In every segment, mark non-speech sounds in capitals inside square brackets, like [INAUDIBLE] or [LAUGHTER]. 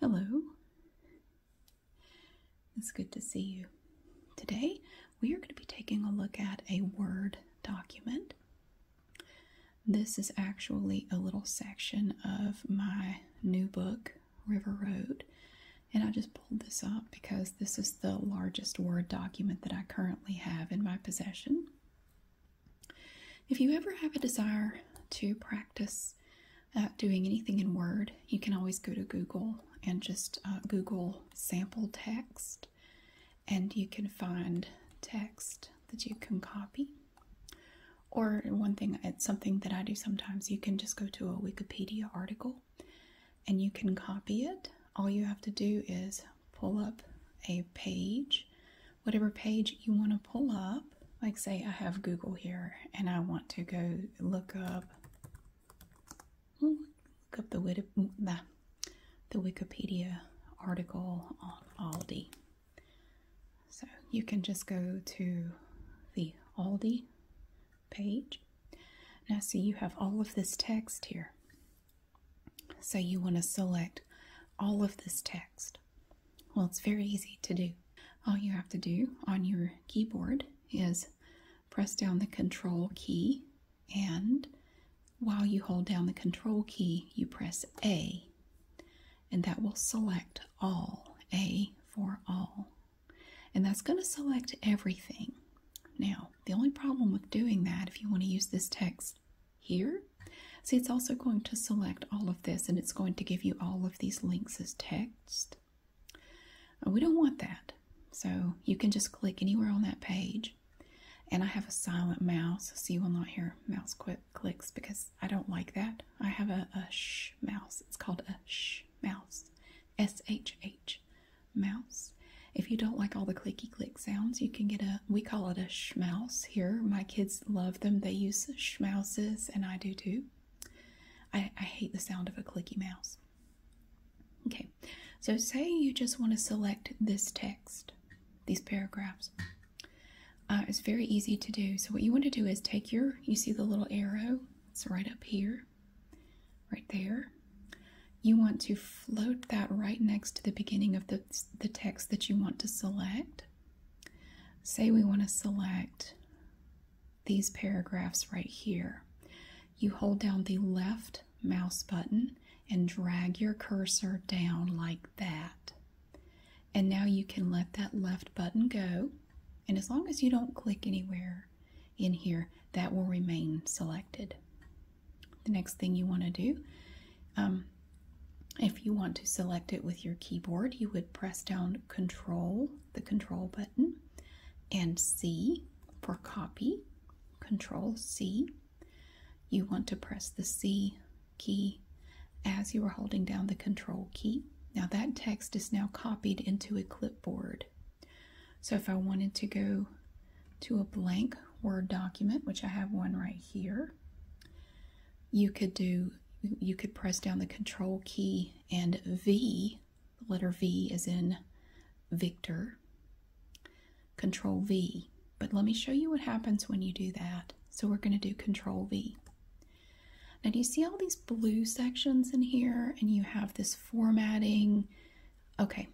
Hello. It's good to see you. Today we are going to be taking a look at a Word document. This is actually a little section of my new book, River Road, and I just pulled this up because this is the largest Word document that I currently have in my possession. If you ever have a desire to practice uh, doing anything in Word, you can always go to Google and just uh, Google sample text, and you can find text that you can copy. Or one thing, it's something that I do sometimes, you can just go to a Wikipedia article and you can copy it. All you have to do is pull up a page whatever page you want to pull up. Like, say, I have Google here and I want to go look up look up the, the, the Wikipedia article on Aldi. So you can just go to the Aldi page. Now see you have all of this text here. So you want to select all of this text. Well, it's very easy to do. All you have to do on your keyboard is press down the control key, and while you hold down the control key, you press A, and that will select all, A for all. And that's going to select everything. Now, the only problem with doing that, if you want to use this text here, see it's also going to select all of this and it's going to give you all of these links as text. Uh, we don't want that. So you can just click anywhere on that page. And I have a silent mouse, so you will not hear mouse click clicks because I don't like that. I have a, a shh mouse. It's called a shh mouse. S-H-H mouse. If you don't like all the clicky click sounds, you can get a, we call it a shh mouse here. My kids love them. They use schmouses, and I do too. I, hate the sound of a clicky mouse. Okay, so say you just want to select this text, these paragraphs. Uh, it's very easy to do. So what you want to do is take your, you see the little arrow, it's right up here, right there. You want to float that right next to the beginning of the, the text that you want to select. Say we want to select these paragraphs right here. You hold down the left mouse button and drag your cursor down like that. And now you can let that left button go. And as long as you don't click anywhere in here, that will remain selected. The next thing you want to do, um, if you want to select it with your keyboard, you would press down Control, the Control button, and C for copy, Control C. You want to press the C key as you are holding down the Control key. Now that text is now copied into a clipboard. So if I wanted to go to a blank Word document, which I have one right here, you could do you could press down the control key and V, the letter V is in Victor, control V. But let me show you what happens when you do that. So we're going to do control V. Now do you see all these blue sections in here and you have this formatting? Okay,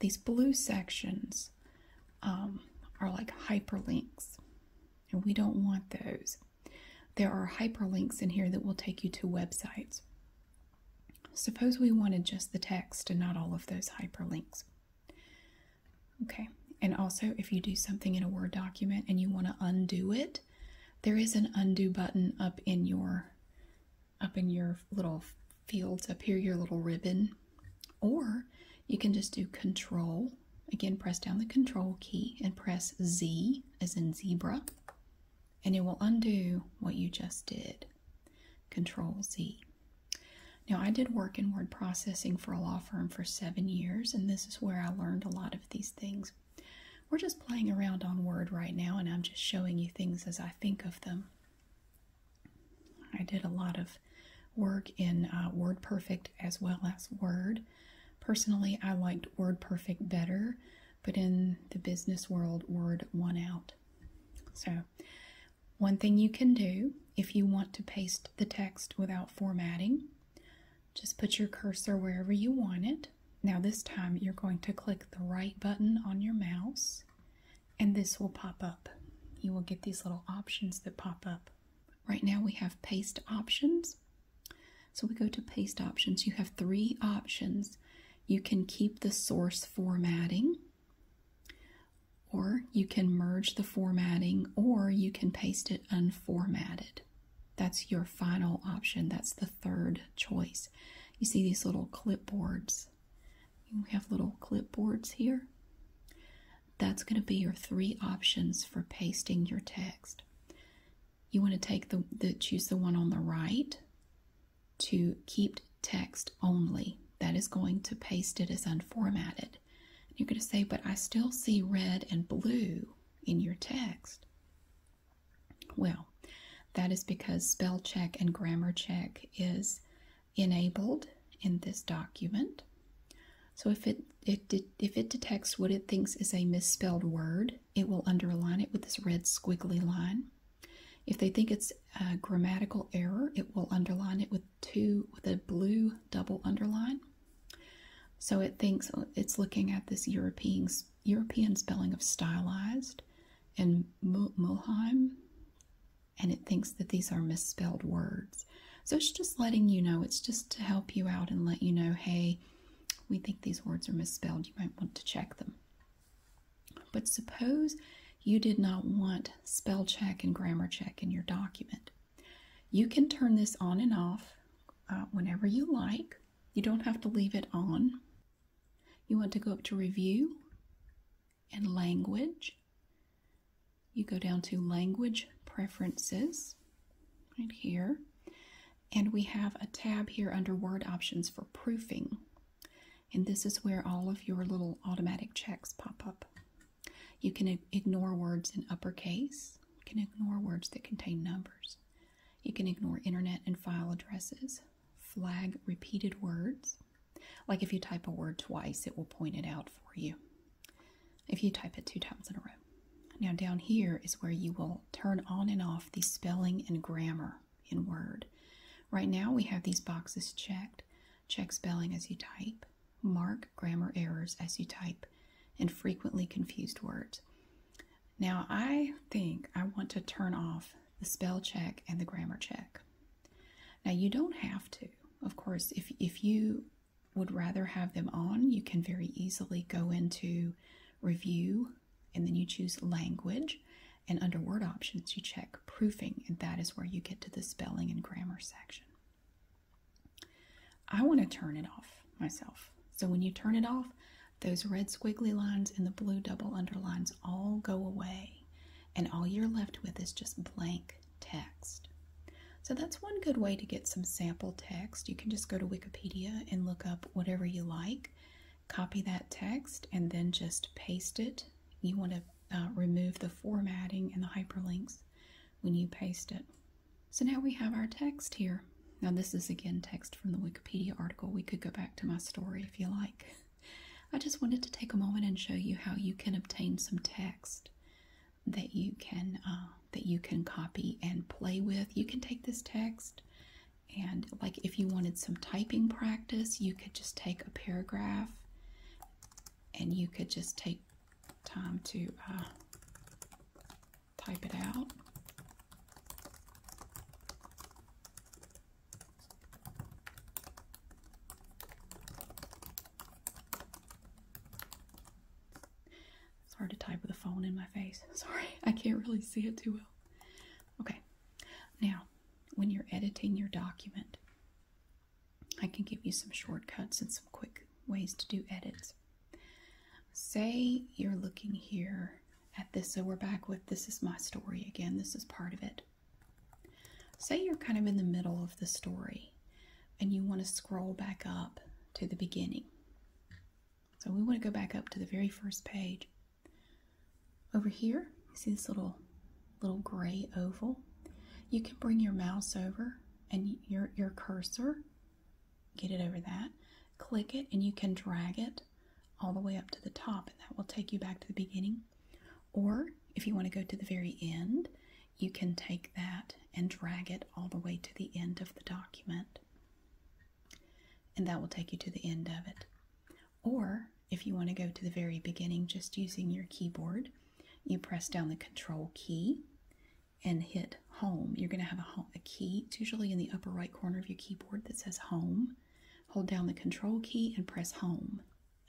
these blue sections um, are like hyperlinks and we don't want those. There are hyperlinks in here that will take you to websites. Suppose we wanted just the text and not all of those hyperlinks. Okay, and also if you do something in a Word document and you want to undo it, there is an undo button up in your up in your little fields up here, your little ribbon. Or you can just do control Again, press down the control key and press Z as in zebra, and it will undo what you just did. Control Z. Now, I did work in word processing for a law firm for seven years, and this is where I learned a lot of these things. We're just playing around on Word right now, and I'm just showing you things as I think of them. I did a lot of work in uh, WordPerfect as well as Word. Personally, I liked Word Perfect better, but in the business world, Word won out. So, one thing you can do if you want to paste the text without formatting, just put your cursor wherever you want it. Now, this time you're going to click the right button on your mouse, and this will pop up. You will get these little options that pop up. Right now, we have paste options, so we go to paste options. You have three options. You can keep the source formatting, or you can merge the formatting, or you can paste it unformatted. That's your final option. That's the third choice. You see these little clipboards. We have little clipboards here. That's going to be your three options for pasting your text you want to take the, choose the one on the right to keep text only. That is going to paste it as unformatted. You're going to say, but I still see red and blue in your text. Well, that is because spell check and grammar check is enabled in this document. So if it if it detects what it thinks is a misspelled word, it will underline it with this red squiggly line. If they think it's a grammatical error, it will underline it with two with a blue double underline. So it thinks it's looking at this European European spelling of stylized and Mulheim, and it thinks that these are misspelled words. So it's just letting you know. It's just to help you out and let you know, hey, we think these words are misspelled. You might want to check them. But suppose you did not want spell check and grammar check in your document. You can turn this on and off uh, whenever you like. You don't have to leave it on. You want to go up to review and language. You go down to language preferences right here. And we have a tab here under Word Options for Proofing. And this is where all of your little automatic checks pop up. You can ignore words in uppercase. You can ignore words that contain numbers. You can ignore internet and file addresses. Flag repeated words. Like if you type a word twice, it will point it out for you. If you type it two times in a row. Now, down here is where you will turn on and off the spelling and grammar in Word. Right now, we have these boxes checked check spelling as you type, mark grammar errors as you type, and frequently confused words. Now, I think I want to turn off the spell check and the grammar check. Now, you don't have to. Of course, if, if you would rather have them on, you can very easily go into review, and then you choose language. And under word options, you check proofing, and that is where you get to the spelling and grammar section. I want to turn it off myself. So when you turn it off, those red squiggly lines and the blue double underlines all go away, and all you're left with is just blank text. So that's one good way to get some sample text. You can just go to Wikipedia and look up whatever you like, copy that text, and then just paste it. You want to uh, remove the formatting and the hyperlinks when you paste it. So now we have our text here. Now, this is again text from the Wikipedia article. We could go back to my story if you like. I just wanted to take a moment and show you how you can obtain some text that you can um, that you can copy and play with. You can take this text and, like, if you wanted some typing practice, you could just take a paragraph and you could just take time to uh, type it out. It's hard to type with a phone in my face. [LAUGHS] Sorry, I can't really see it too well. Okay, now when you're editing your document, I can give you some shortcuts and some quick ways to do edits. Say you're looking here at this, so we're back with this is my story again, this is part of it. Say you're kind of in the middle of the story and you want to scroll back up to the beginning. So we want to go back up to the very first page. Over here, you see this little little gray oval. You can bring your mouse over and your, your cursor, get it over that, click it, and you can drag it all the way up to the top, and that will take you back to the beginning. Or if you want to go to the very end, you can take that and drag it all the way to the end of the document and that will take you to the end of it. Or if you want to go to the very beginning just using your keyboard, you press down the control key and hit home. You're going to have a, key. It's usually in the upper right corner of your keyboard that says home. Hold down the control key and press home.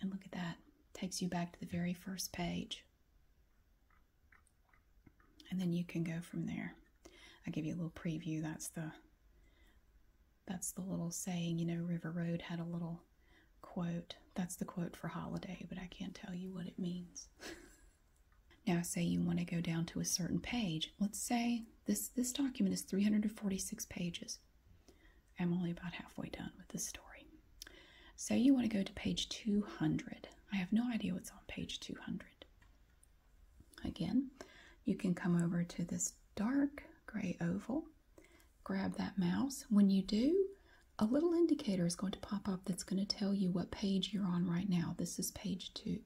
And look at that. takes you back to the very first page. And then you can go from there. I give you a little preview. That's the that's the little saying, you know, River Road had a little quote. That's the quote for holiday, but I can't tell you what it means. [LAUGHS] now say you want to go down to a certain page. Let's say this this document is 346 pages. I'm only about halfway done with this story. Say you want to go to page 200. I have no idea what's on page 200. Again, you can come over to this dark gray oval, grab that mouse. When you do, a little indicator is going to pop up that's going to tell you what page you're on right now. This is page two.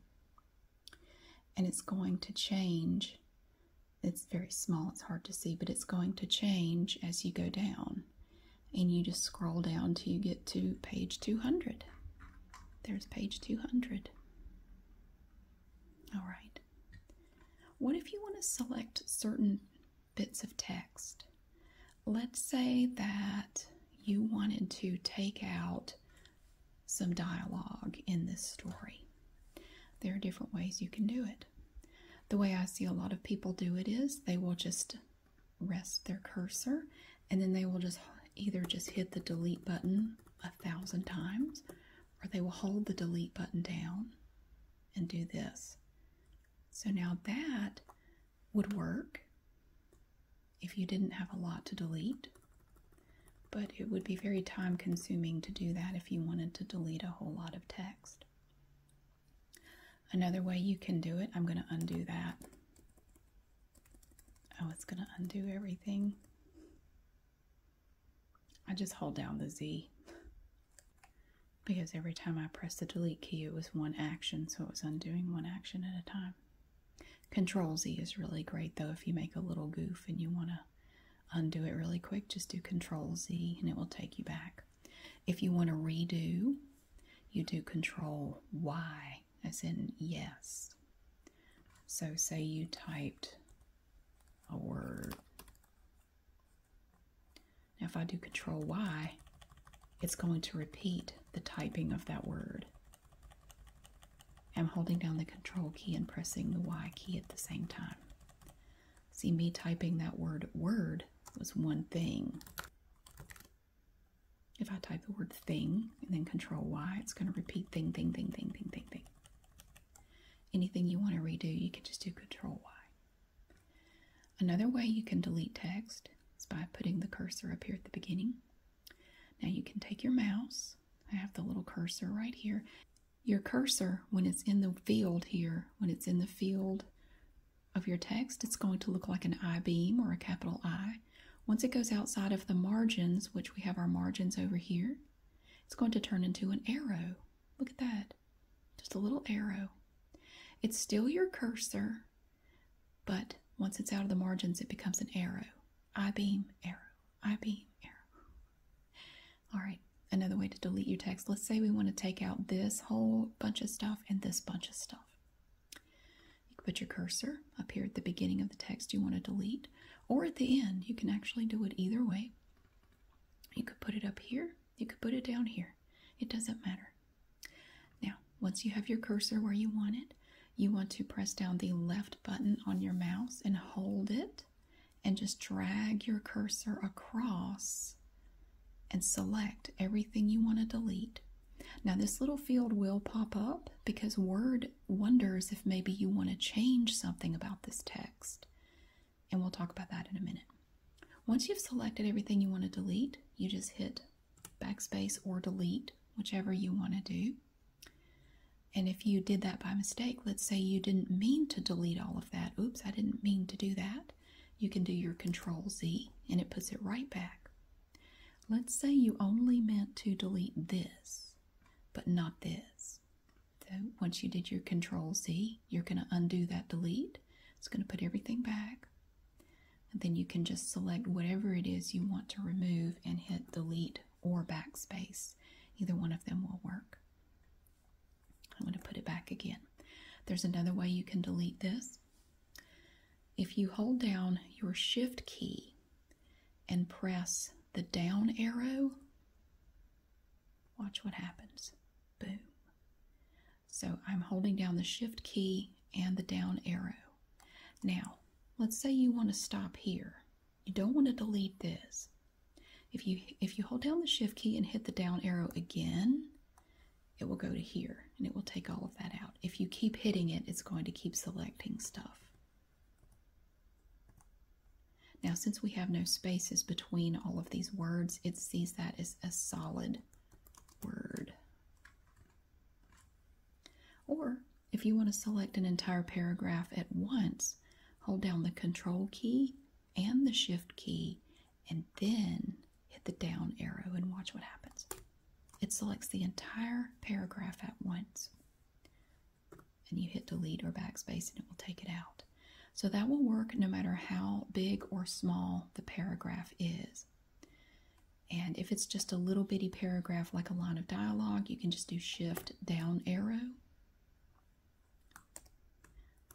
And it's going to change. It's very small, it's hard to see, but it's going to change as you go down. And you just scroll down till you get to page 200. There's page 200. All right. What if you want to select certain bits of text? Let's say that you wanted to take out some dialogue in this story. There are different ways you can do it. The way I see a lot of people do it is they will just rest their cursor and then they will just either just hit the delete button a thousand times or they will hold the delete button down and do this. So now that would work if you didn't have a lot to delete, but it would be very time consuming to do that if you wanted to delete a whole lot of text. Another way you can do it, I'm going to undo that Oh, it's going to undo everything. I just hold down the Z because every time I press the delete key, it was one action, so it was undoing one action at a time. Control Z is really great though. If you make a little goof and you want to undo it really quick, just do Control Z and it will take you back. If you want to redo, you do Control Y as in yes. So, say you typed a word. Now, if I do Control Y, it's going to repeat the typing of that word. I'm holding down the Control key and pressing the Y key at the same time. See, me typing that word word was one thing. If I type the word thing, and then control Y. It's going to repeat thing, thing, thing, thing, thing, thing, thing. Anything you want to redo, you can just do control Y. Another way you can delete text is by putting the cursor up here at the beginning. Now you can take your mouse. I have the little cursor right here. Your cursor, when it's in the field here, when it's in the field of your text, it's going to look like an I-beam or a capital I. Once it goes outside of the margins, which we have our margins over here, it's going to turn into an arrow. Look at that. Just a little arrow. It's still your cursor, but once it's out of the margins, it becomes an arrow. I-beam, arrow, I-beam, arrow. All right, another way to delete your text. Let's say we want to take out this whole bunch of stuff and this bunch of stuff. You can put your cursor up here at the beginning of the text you want to delete, or at the end. You can actually do it either way. You could put it up here, you could put it down here. It doesn't matter. Now, once you have your cursor where you want it, you want to press down the left button on your mouse and hold it and just drag your cursor across and select everything you want to delete. Now, this little field will pop up because Word wonders if maybe you want to change something about this text. And we'll talk about that in a minute. Once you've selected everything you want to delete, you just hit backspace or delete, whichever you want to do. And if you did that by mistake, let's say you didn't mean to delete all of that. Oops, I didn't mean to do that. You can do your control Z and it puts it right back. Let's say you only meant to delete this but not this. So once you did your control Z, you're going to undo that delete. It's going to put everything back. And then you can just select whatever it is you want to remove and hit delete or backspace. Either one of them will work. I'm going to put it back again. There's another way you can delete this. If you hold down your shift key and press the down arrow, watch what happens. Boom. So I'm holding down the shift key and the down arrow. Now, let's say you want to stop here. You don't want to delete this. If you, if you hold down the shift key and hit the down arrow again, it will go to here and it will take all of that out. If you keep hitting it, it's going to keep selecting stuff. Now, since we have no spaces between all of these words, it sees that as a solid word. Or if you want to select an entire paragraph at once, hold down the Control key and the Shift key, and then hit the down arrow and watch what happens. It selects the entire paragraph at once and you hit delete or backspace and it will take it out. So that will work no matter how big or small the paragraph is. And if it's just a little bitty paragraph like a line of dialogue, you can just do shift down arrow.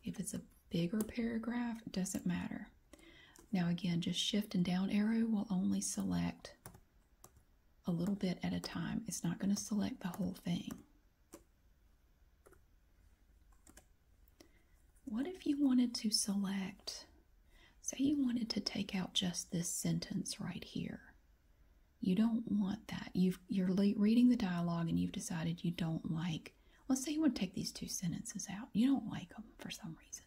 If it's a bigger paragraph, doesn't matter. Now again, just shift and down arrow will only select a little bit at a time. It's not going to select the whole thing. What if you wanted to select, say you wanted to take out just this sentence right here. You don't want that. You've, you're reading the dialogue and you've decided you don't like, let's say you want to take these two sentences out. You don't like them for some reason.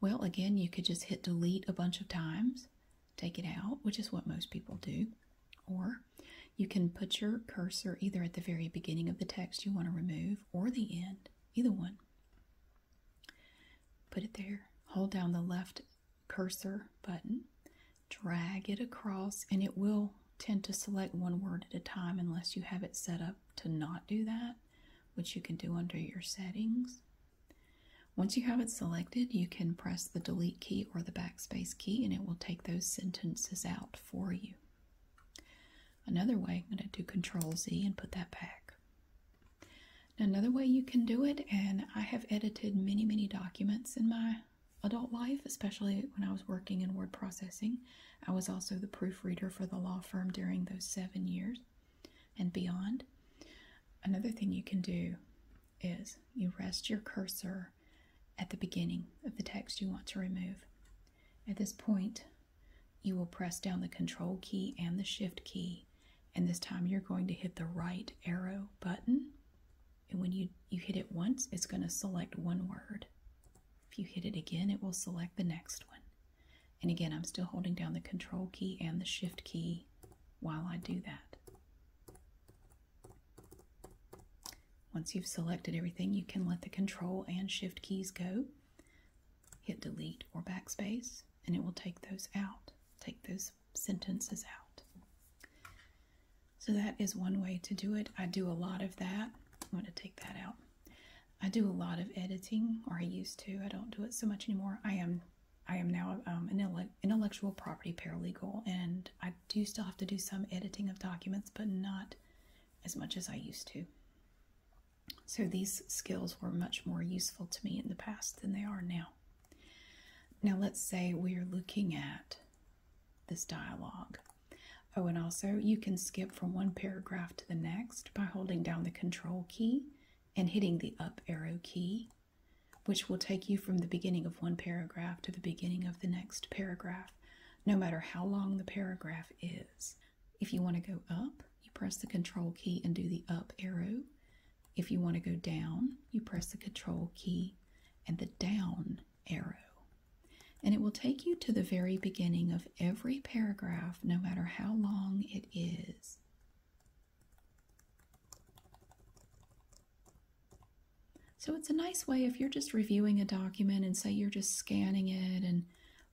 Well, again, you could just hit delete a bunch of times take it out, which is what most people do, or you can put your cursor either at the very beginning of the text you want to remove or the end, either one. Put it there, hold down the left cursor button, drag it across, and it will tend to select one word at a time unless you have it set up to not do that, which you can do under your settings once you have it selected, you can press the delete key or the backspace key and it will take those sentences out for you. Another way, I'm going to do Control Z and put that back. another way you can do it, and I have edited many, many documents in my adult life, especially when I was working in word processing. I was also the proofreader for the law firm during those seven years and beyond. Another thing you can do is you rest your cursor at the beginning of the text you want to remove. At this point, you will press down the control key and the shift key, and this time you're going to hit the right arrow button. And when you, you hit it once, it's going to select one word. If you hit it again, it will select the next one. And again, I'm still holding down the control key and the shift key while I do that. Once you've selected everything, you can let the Control and Shift keys go. Hit Delete or Backspace, and it will take those out, take those sentences out. So that is one way to do it. I do a lot of that. I'm going to take that out. I do a lot of editing, or I used to. I don't do it so much anymore. I am I am now um, an intellectual property paralegal, and I do still have to do some editing of documents, but not as much as I used to. So these skills were much more useful to me in the past than they are now. Now let's say we are looking at this dialogue. Oh, and also you can skip from one paragraph to the next by holding down the control key and hitting the up arrow key which will take you from the beginning of one paragraph to the beginning of the next paragraph, no matter how long the paragraph is. If you want to go up, you press the control key and do the up arrow. If you want to go down, you press the control key and the down arrow. And it will take you to the very beginning of every paragraph, no matter how long it is. So it's a nice way if you're just reviewing a document and say you're just scanning it and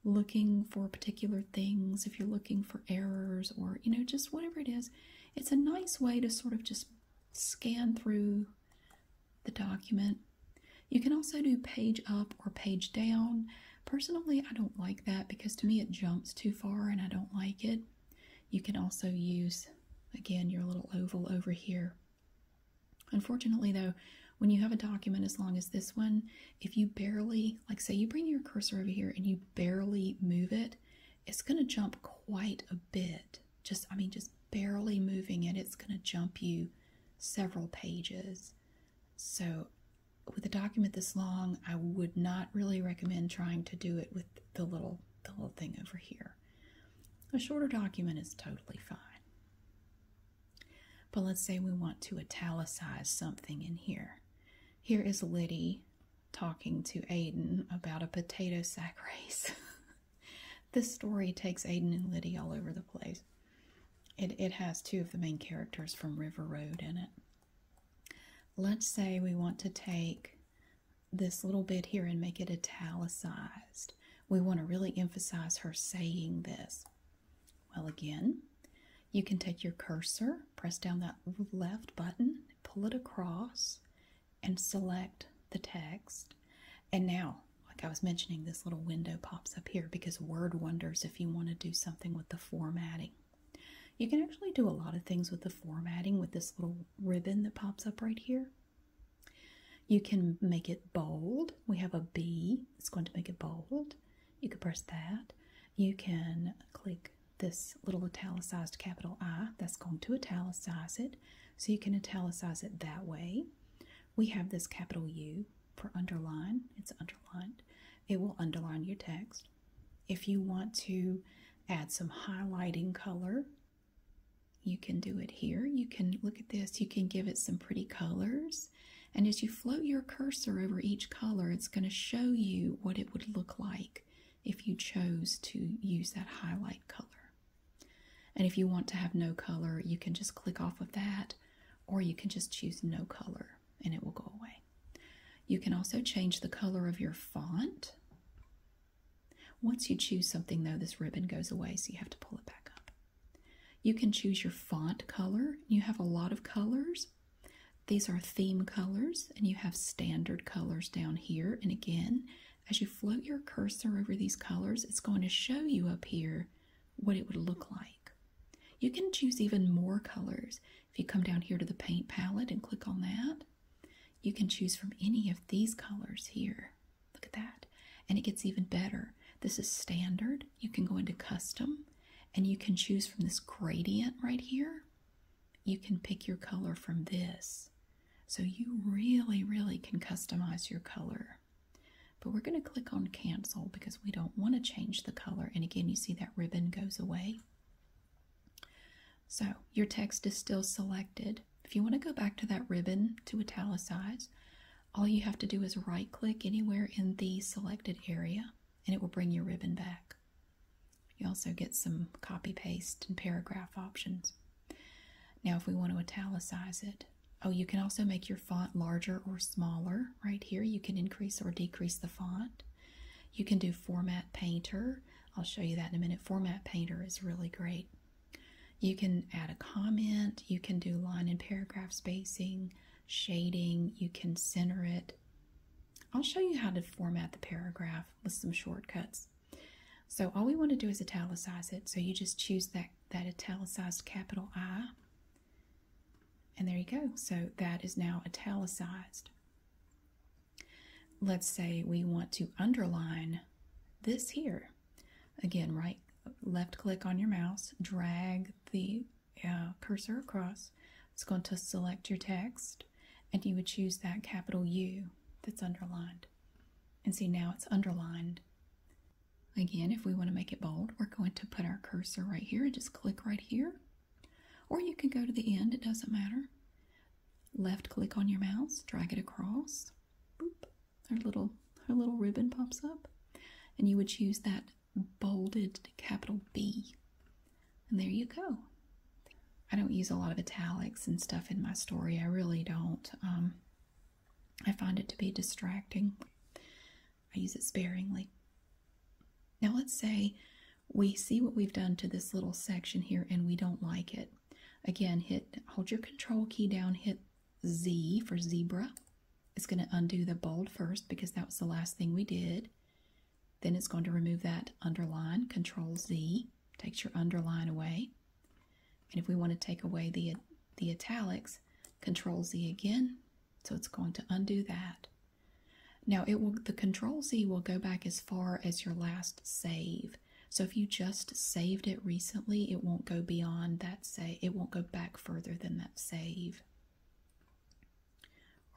looking for particular things, if you're looking for errors or, you know, just whatever it is, it's a nice way to sort of just scan through the document. You can also do page up or page down. Personally, I don't like that because to me it jumps too far and I don't like it. You can also use, again, your little oval over here. Unfortunately, though, when you have a document as long as this one, if you barely, like say you bring your cursor over here and you barely move it, it's going to jump quite a bit. Just, I mean, just barely moving it, it's going to jump you several pages. So with a document this long, I would not really recommend trying to do it with the little, the little thing over here. A shorter document is totally fine. But let's say we want to italicize something in here. Here is Liddy talking to Aiden about a potato sack [LAUGHS] race. this story takes Aiden and Liddy all over the place. it has two of the main characters from River Road in it. Let's say we want to take this little bit here and make it italicized. We want to really emphasize her saying this. Well, again, you can take your cursor, press down that left button, pull it across, and select the text. And now, like I was mentioning, this little window pops up here because Word wonders if you want to do something with the formatting. You can actually do a lot of things with the formatting with this little ribbon that pops up right here. You can make it bold. We have a B, it's going to make it bold. You can press that. You can click this little italicized capital I, that's going to italicize it. So you can italicize it that way. We have this capital U for underline, it's underlined. It will underline your text. If you want to add some highlighting color you can do it here. You can look at this. You can give it some pretty colors. And as you float your cursor over each color, it's going to show you what it would look like if you chose to use that highlight color. And if you want to have no color, you can just click off of that, or you can just choose no color and it will go away. You can also change the color of your font. Once you choose something, though, this ribbon goes away, so you have to pull it back up. You can choose your font color. You have a lot of colors. These are theme colors, and you have standard colors down here. And again, as you float your cursor over these colors, it's going to show you up here what it would look like. You can choose even more colors. If you come down here to the paint palette and click on that, you can choose from any of these colors here. Look at that. And it gets even better. This is standard. You can go into custom and you can choose from this gradient right here. You can pick your color from this. So you really, really can customize your color. But we're going to click on cancel because we don't want to change the color. And again, you see that ribbon goes away. So your text is still selected. If you want to go back to that ribbon to italicize, all you have to do is right click anywhere in the selected area and it will bring your ribbon back. You also get some copy paste and paragraph options. Now if we want to italicize it, oh you can also make your font larger or smaller right here. You can increase or decrease the font. You can do format painter. I'll show you that in a minute. Format painter is really great. You can add a comment, you can do line and paragraph spacing, shading, you can center it. I'll show you how to format the paragraph with some shortcuts. So all we want to do is italicize it. So you just choose that, that italicized capital I. And there you go. So that is now italicized. Let's say we want to underline this here. Again, right, left click on your mouse, drag the uh, cursor across. It's going to select your text, and you would choose that capital U that's underlined. And see, now it's underlined. Again, if we want to make it bold, we're going to put our cursor right here and just click right here. Or you can go to the end, it doesn't matter. Left click on your mouse, drag it across, boop, her little her little ribbon pops up, and you would choose that bolded capital B. And there you go. I don't use a lot of italics and stuff in my story. I really don't. Um, I find it to be distracting. I use it sparingly. Now let's say we see what we've done to this little section here and we don't like it. Again, hit hold your control key down, hit Z for zebra. It's going to undo the bold first because that was the last thing we did. Then it's going to remove that underline, control Z, takes your underline away. And if we want to take away the, the italics, control Z again, so it's going to undo that. Now it will the control Z will go back as far as your last save. So if you just saved it recently, it won't go beyond that say it won't go back further than that save.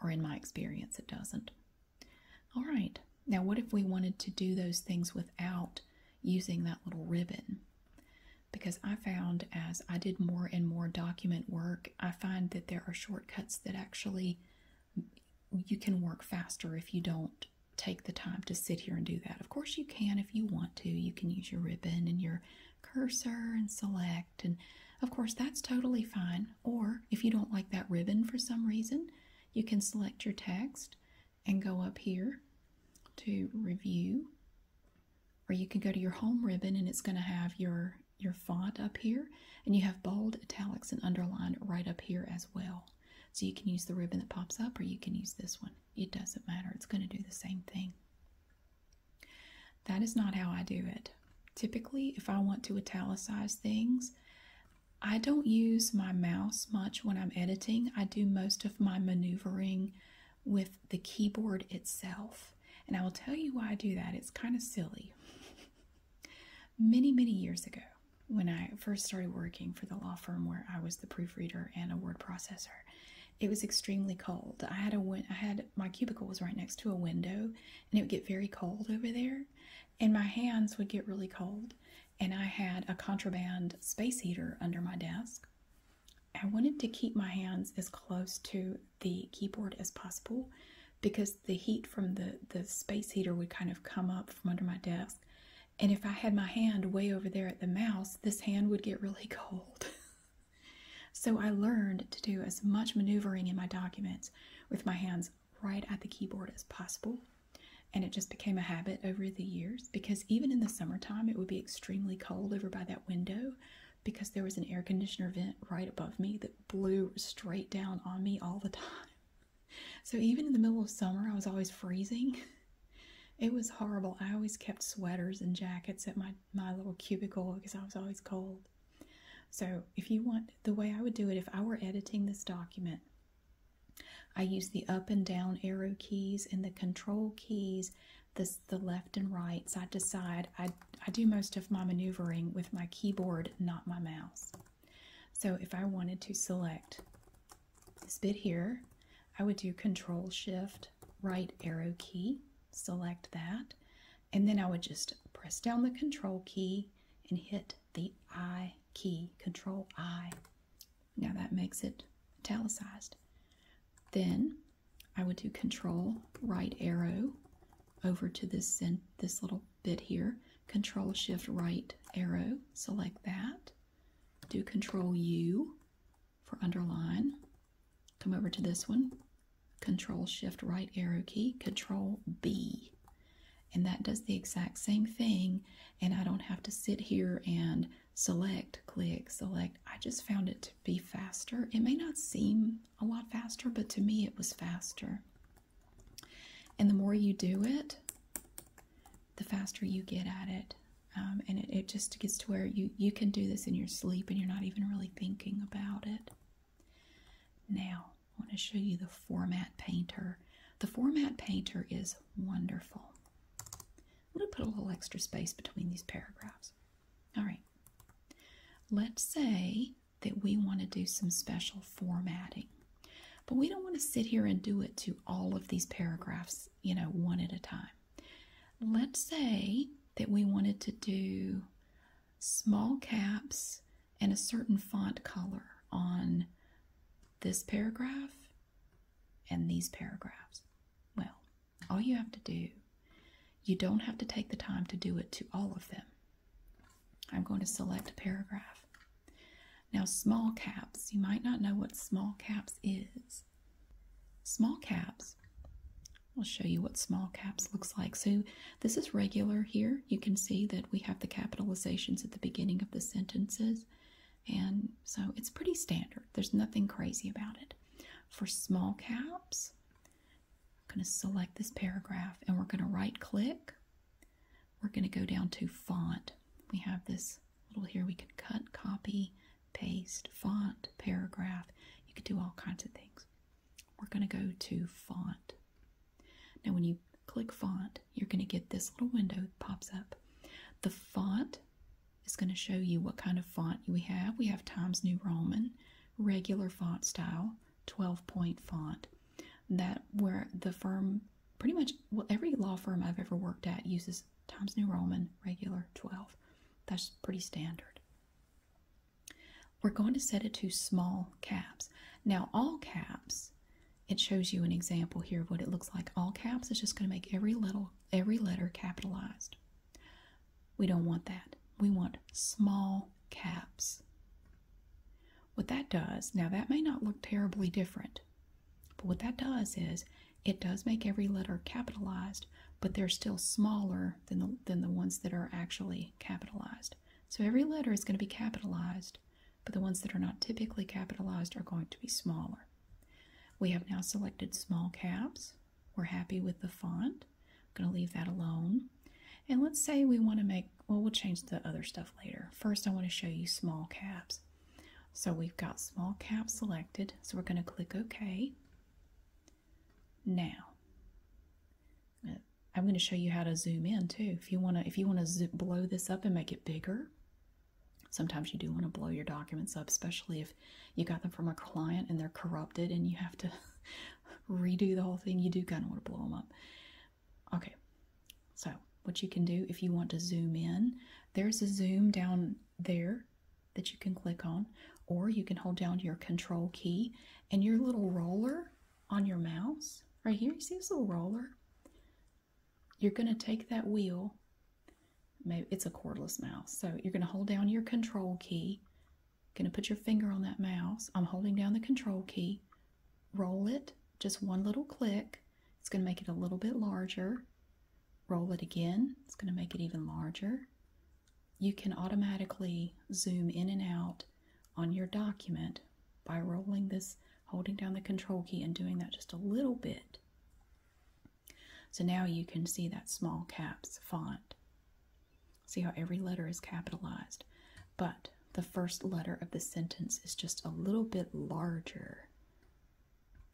Or in my experience it doesn't. All right. Now what if we wanted to do those things without using that little ribbon? Because I found as I did more and more document work, I find that there are shortcuts that actually you can work faster if you don't take the time to sit here and do that. Of course, you can if you want to. You can use your ribbon and your cursor and select, and of course, that's totally fine. Or if you don't like that ribbon for some reason, you can select your text and go up here to review, or you can go to your home ribbon and it's going to have your your font up here and you have bold italics and underline right up here as well so you can use the ribbon that pops up or you can use this one it doesn't matter. It's going to do the same thing. That is not how I do it. Typically, if I want to italicize things, I don't use my mouse much when I'm editing. I do most of my maneuvering with the keyboard itself. And I will tell you why I do that. It's kind of silly. [LAUGHS] many, many years ago, when I first started working for the law firm where I was the proofreader and a word processor, it was extremely cold. I had a win- I had my cubicle was right next to a window, and it would get very cold over there, and my hands would get really cold. And I had a contraband space heater under my desk. I wanted to keep my hands as close to the keyboard as possible because the heat from the, the space heater would kind of come up from under my desk and if I had my hand way over there at the mouse, this hand would get really [LAUGHS] cold. so I learned to do as much maneuvering in my documents with my hands right at the keyboard as possible. And it just became a habit over the years because even in the summertime, it would be extremely cold over by that window because there was an air conditioner vent right above me that blew straight down on me all the time. [LAUGHS] So even in the middle of summer, I was always freezing. [LAUGHS] it was horrible. I always kept sweaters and jackets at my, my little cubicle because I was always cold. So, if you want, the way I would do it if I were editing this document, I use the up and down arrow keys and the control keys, this, the left and right. So I decide, I, I do most of my maneuvering with my keyboard, not my mouse. So if I wanted to select this bit here, I would do Control Shift right arrow key, select that, and then I would just press down the Control key and hit the I key, Control I. Now that makes it italicized. Then I would do Control right arrow over to this this little bit here, Control Shift right arrow, select that, do Control U for underline. Come over to this one, Control Shift right arrow key, Control B. And that does the exact same thing, and I don't have to sit here and select, click, select. I just found it to be faster. It may not seem a lot faster, but to me it was faster. And the more you do it, the faster you get at it. Um, and it, it just gets to where you, you can do this in your sleep and you're not even really thinking about it. Now, I want to show you the format painter. The format painter is wonderful. I'm going to put a little extra space between these paragraphs. All right. Let's say that we want to do some special formatting, but we don't want to sit here and do it to all of these paragraphs you know, one at a time. Let's say that we wanted to do small caps and a certain font color on this paragraph and these paragraphs. Well, all you have to do, you don't have to take the time to do it to all of them. I'm going to select a paragraph. Now, small caps, you might not know what small caps is. Small caps. I'll show you what small caps looks like. So this is regular here. You can see that we have the capitalizations at the beginning of the sentences. And so it's pretty standard. There's nothing crazy about it. For small caps, I'm going to select this paragraph and we're going to right click. We're going to go down to font. We have this little here we can cut, copy, paste, font, paragraph. You can do all kinds of things. We're going to go to font. Now when you click font, you're going to get this little window pops up. The font is going to show you what kind of font we have. We have Times New Roman, regular font style, 12 point font. That where the firm, pretty much well, every law firm I've ever worked at uses times New Roman, regular 12. That's pretty standard. We're going to set it to small caps. Now, all caps, it shows you an example here of what it looks like. All caps is just going to make every little every letter capitalized. We don't want that. We want small caps. What that does, now that may not look terribly different but what that does is it does make every letter capitalized, but they're still smaller than the, than the ones that are actually capitalized. So every letter is going to be capitalized, but the ones that are not typically capitalized are going to be smaller. We have now selected small caps. We're happy with the font. I'm going to leave that alone. And let's say we want to make, well, we'll change the other stuff later. First, I want to show you small caps. So we've got small cap selected, so we're going to click OK. Now, I'm going to show you how to zoom in too. If you want to, if you want to blow this up and make it bigger, sometimes you do want to blow your documents up, especially if you got them from a client and they're corrupted and you have to [LAUGHS] redo the whole thing. You do kind of want to blow them up. Okay, so what you can do if you want to zoom in, there's a zoom down there that you can click on, or you can hold down your control key and your little roller on your mouse. Right here, you see this little roller? You're going to take that wheel. Maybe it's a cordless mouse. So you're going to hold down your control key. Going to put your finger on that mouse. I'm holding down the control key. Roll it. Just one little click. It's going to make it a little bit larger. Roll it again. It's going to make it even larger. You can automatically zoom in and out on your document by rolling this, holding down the control key and doing that just a little bit. So now you can see that small caps font. See how every letter is capitalized, but the first letter of the sentence is just a little bit larger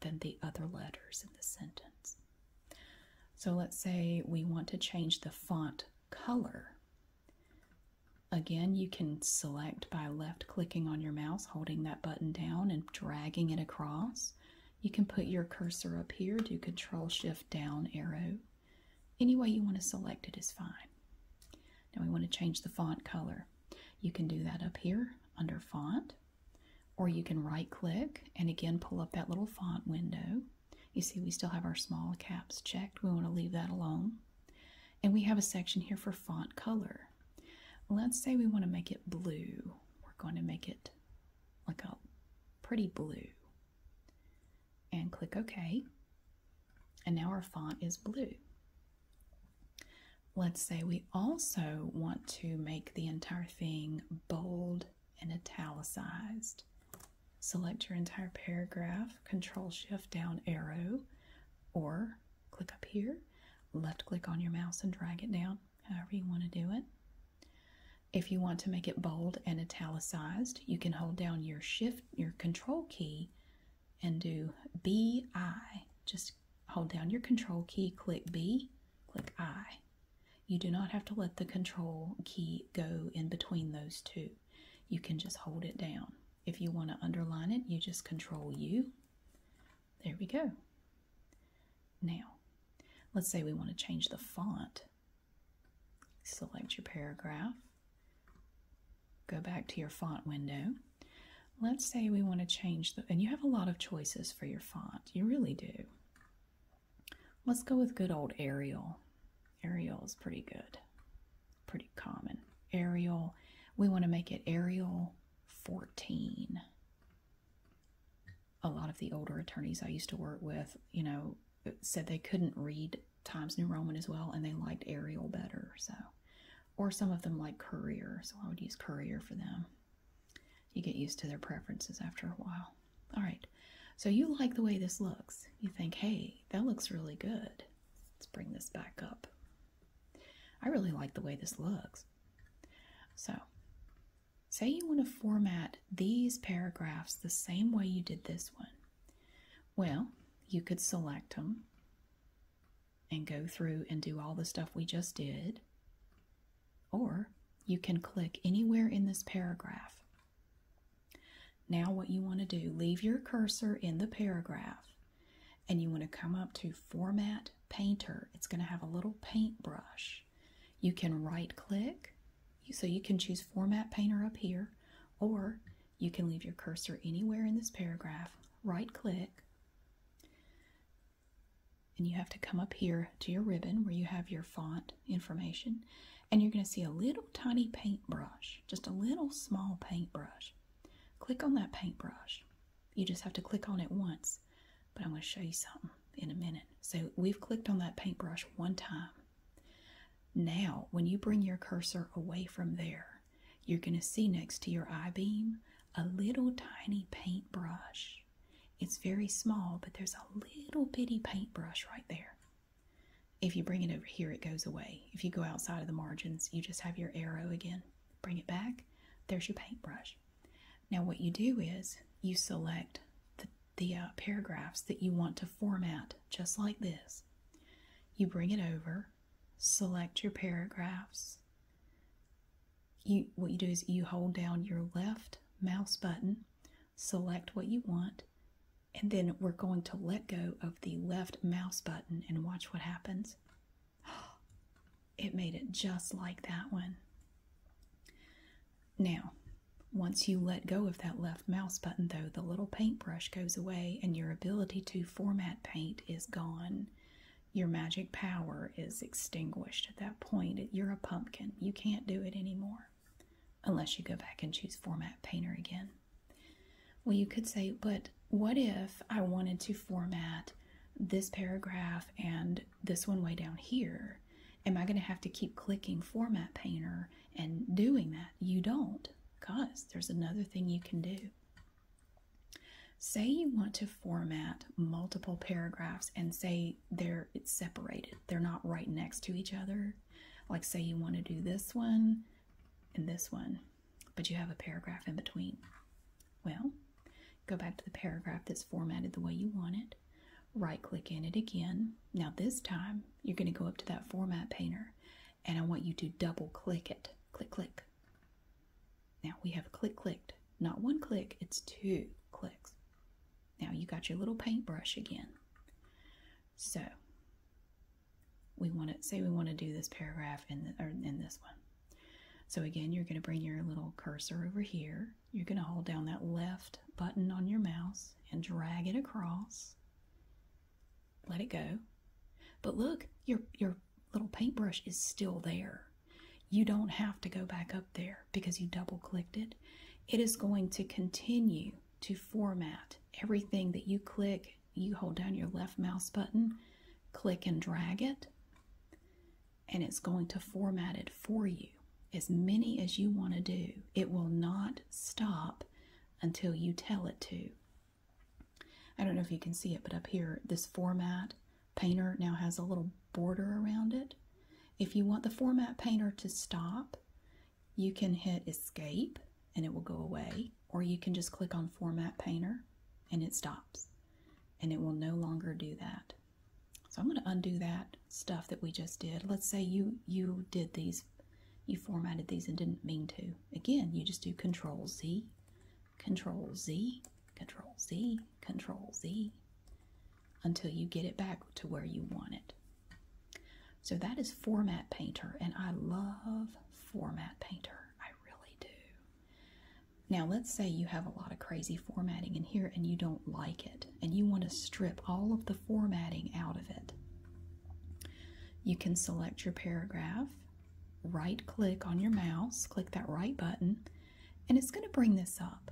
than the other letters in the sentence. So let's say we want to change the font color. Again, you can select by left clicking on your mouse, holding that button down and dragging it across. You can put your cursor up here, do control shift down arrow. Any way you want to select it is fine. Now we want to change the font color. You can do that up here under font or you can right click and again pull up that little font window. You see we still have our small caps checked. We want to leave that alone. And we have a section here for font color. Let's say we want to make it blue. We're going to make it like a pretty blue. And click OK. And now our font is blue. Let's say we also want to make the entire entire bold and italicized. Select your entire paragraph, Control Shift down arrow, or click up here, left click on your mouse and drag it down, however you want to do it. If you want to make it bold and italicized, you can hold down your shift, your control key, and do BI. Just hold down your control key, click B, click I. You do not have to let the control key go in between those two. You can just hold it down. If you want to underline it, you just control U. There we go. Now, let's say we want to change the font. Select your paragraph. Go back to your font window. Let's say we want to change the, and you have a lot of choices for your font. You really do. Let's go with good old Arial. Arial is pretty good, pretty common. Arial. we want to make it Arial 14. A lot of the older attorneys I used to work with, you know, said they couldn't read Times New Roman as well and they liked Arial better, so. Or some of them like Courier, so I would use Courier for them. You get used to their preferences after a while. All right, so you like the way this looks. You think, hey, that looks really good. Let's bring this back up. I really like the way this looks. So, say you want to format these paragraphs the same way you did this one. Well, you could select them and go through and do all the stuff we just did. Or you can click anywhere in this paragraph. Now what you want to do, leave your cursor in the paragraph and you want to come up to Format Painter. It's going to have a little paintbrush. You can right click, so you can choose Format Painter up here, or you can leave your cursor anywhere in this paragraph, right click, and you have to come up here to your ribbon where you have your font information and you're going to see a little tiny paintbrush, just a little small paintbrush. Click on that paintbrush. You just have to click on it once, but I'm going to show you something in a minute. So we've clicked on that paintbrush one time. Now, when you bring your cursor away from there, you're going to see next to your I-beam a little tiny paintbrush. It's very small, but there's a little bitty paintbrush right there. If you bring it over here, it goes away. If you go outside of the margins, you just have your arrow again. Bring it back, there's your paintbrush. Now, what you do is you select the, uh, paragraphs that you want to format just like this. You bring it over, select your paragraphs, you what you do is you hold down your left mouse button, select what you want, and then we're going to let go of the left mouse button and watch what happens. [GASPS] It made it just like that one. Now, once you let go of that left mouse button, though, the little paintbrush goes away and your ability to format paint is gone. Your magic power is extinguished at that point. You're a pumpkin. You can't do it anymore unless you go back and choose format painter again. Well, you could say, but what if I wanted to format this paragraph and this one way down here? Am I going to have to keep clicking format painter and doing that? You don't, because there's another thing you can do. Say you want to format multiple paragraphs and say they're it's separated. They're not right next to each other. Like say you want to do this one and this one, but you have a paragraph in between. Well, go back to the paragraph that's formatted the way you want it. Right click in it again. Now this time you're going to go up to that format painter and I want you to double click it. Click click. Now we have click clicked. Not one click, it's two clicks. Now you got your little paintbrush again. So we want to say we want to do this paragraph in the, or in this one. So again, you're going to bring your little cursor over here. You're going to hold down that left button on your mouse and drag it across. Let it go. But look, your your little paintbrush is still there. You don't have to go back up there because you double clicked it, it is going to continue to format everything that you click. You hold down your left mouse button, click and drag it, and it's going to format it for you as many as you want to do. It will not stop until you tell it to. I don't know if you can see it, but up here, this format painter now has a little border around it. If you want the format painter to stop, you can hit escape and it will go away, or you can just click on format painter and it stops and it will no longer do that. So I'm going to undo that stuff that we just did. Let's say you, you did these, you formatted these and didn't mean to. Again, you just do control Z, control Z, control Z, Control Z until you get it back to where you want it. So that is Format Painter, and I love Format Painter. I really do. Now, let's say you have a lot of crazy formatting in here and you don't like it, and you want to strip all of the formatting out of it. You can select your paragraph, right click on your mouse, click that right button, and it's going to bring this up.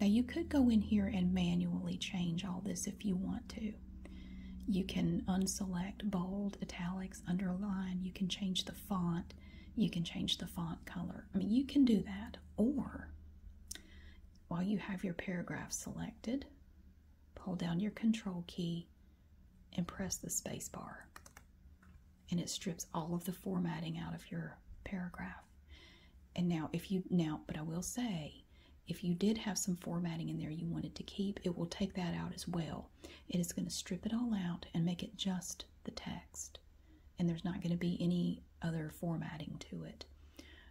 Now you could go in here and manually change all this if you want to. You can unselect bold, italics, underline, you can change the font, you can change the font color. I mean, you can do that. Or while you have your paragraph selected, hold down your control key and press the space bar. And it strips all of the formatting out of your paragraph. And now, if you now, but I will say, if you did have some formatting in there you wanted to keep, it will take that out as well. It is going to strip it all out and make it just the text, and there's not going to be any other formatting to it.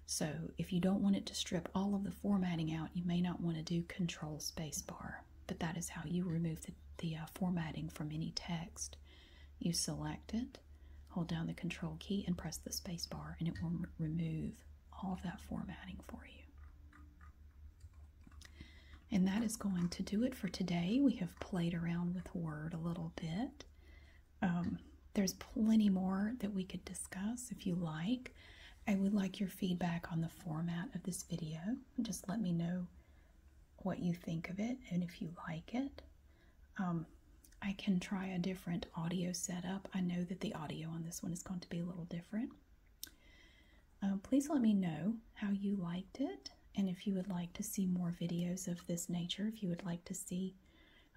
So, if you don't want it to strip all of the formatting out, you may not want to do Control Spacebar, but that is how you remove the, uh, formatting from any text. You select it, Hold down the control key and press the space bar, and it will remove all of that formatting for you. And that is going to do it for today. We have played around with Word a little bit. Um, there's plenty more that we could discuss if you like. I would like your feedback on the format of this video. Just let me know what you think of it and if you like it. Um, I can try a different audio setup. I know that the audio on this one is going to be a little different. Uh, please let me know how you liked it and if you would like to see more videos of this nature, if you would like to see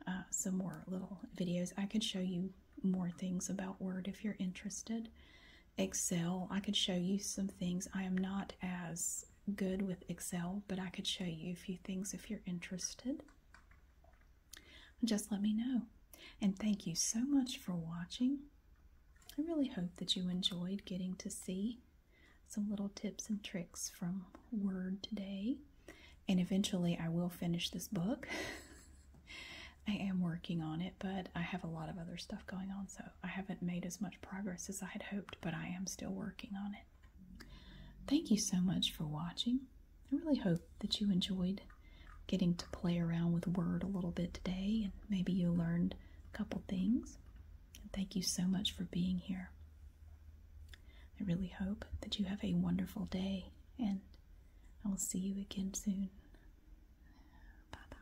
uh, some more little videos, I could show you more things about Word if you're interested. Excel, I could show you some things. I am not as good with Excel, but I could show you a few things if you're interested just let me know. And thank you so much for watching. I really hope that you enjoyed getting to see some little tips and tricks from Word today. And eventually I will finish this book. [LAUGHS] I am working on it, but I have a lot of other stuff going on, so I haven't made as much progress as I had hoped, but I am still working on it. Thank you so much for watching. I really hope that you enjoyed getting to play around with Word a little bit today and maybe you learned a couple things. And thank you so much for being here. I really hope that you have a wonderful day and I will see you again soon. bye.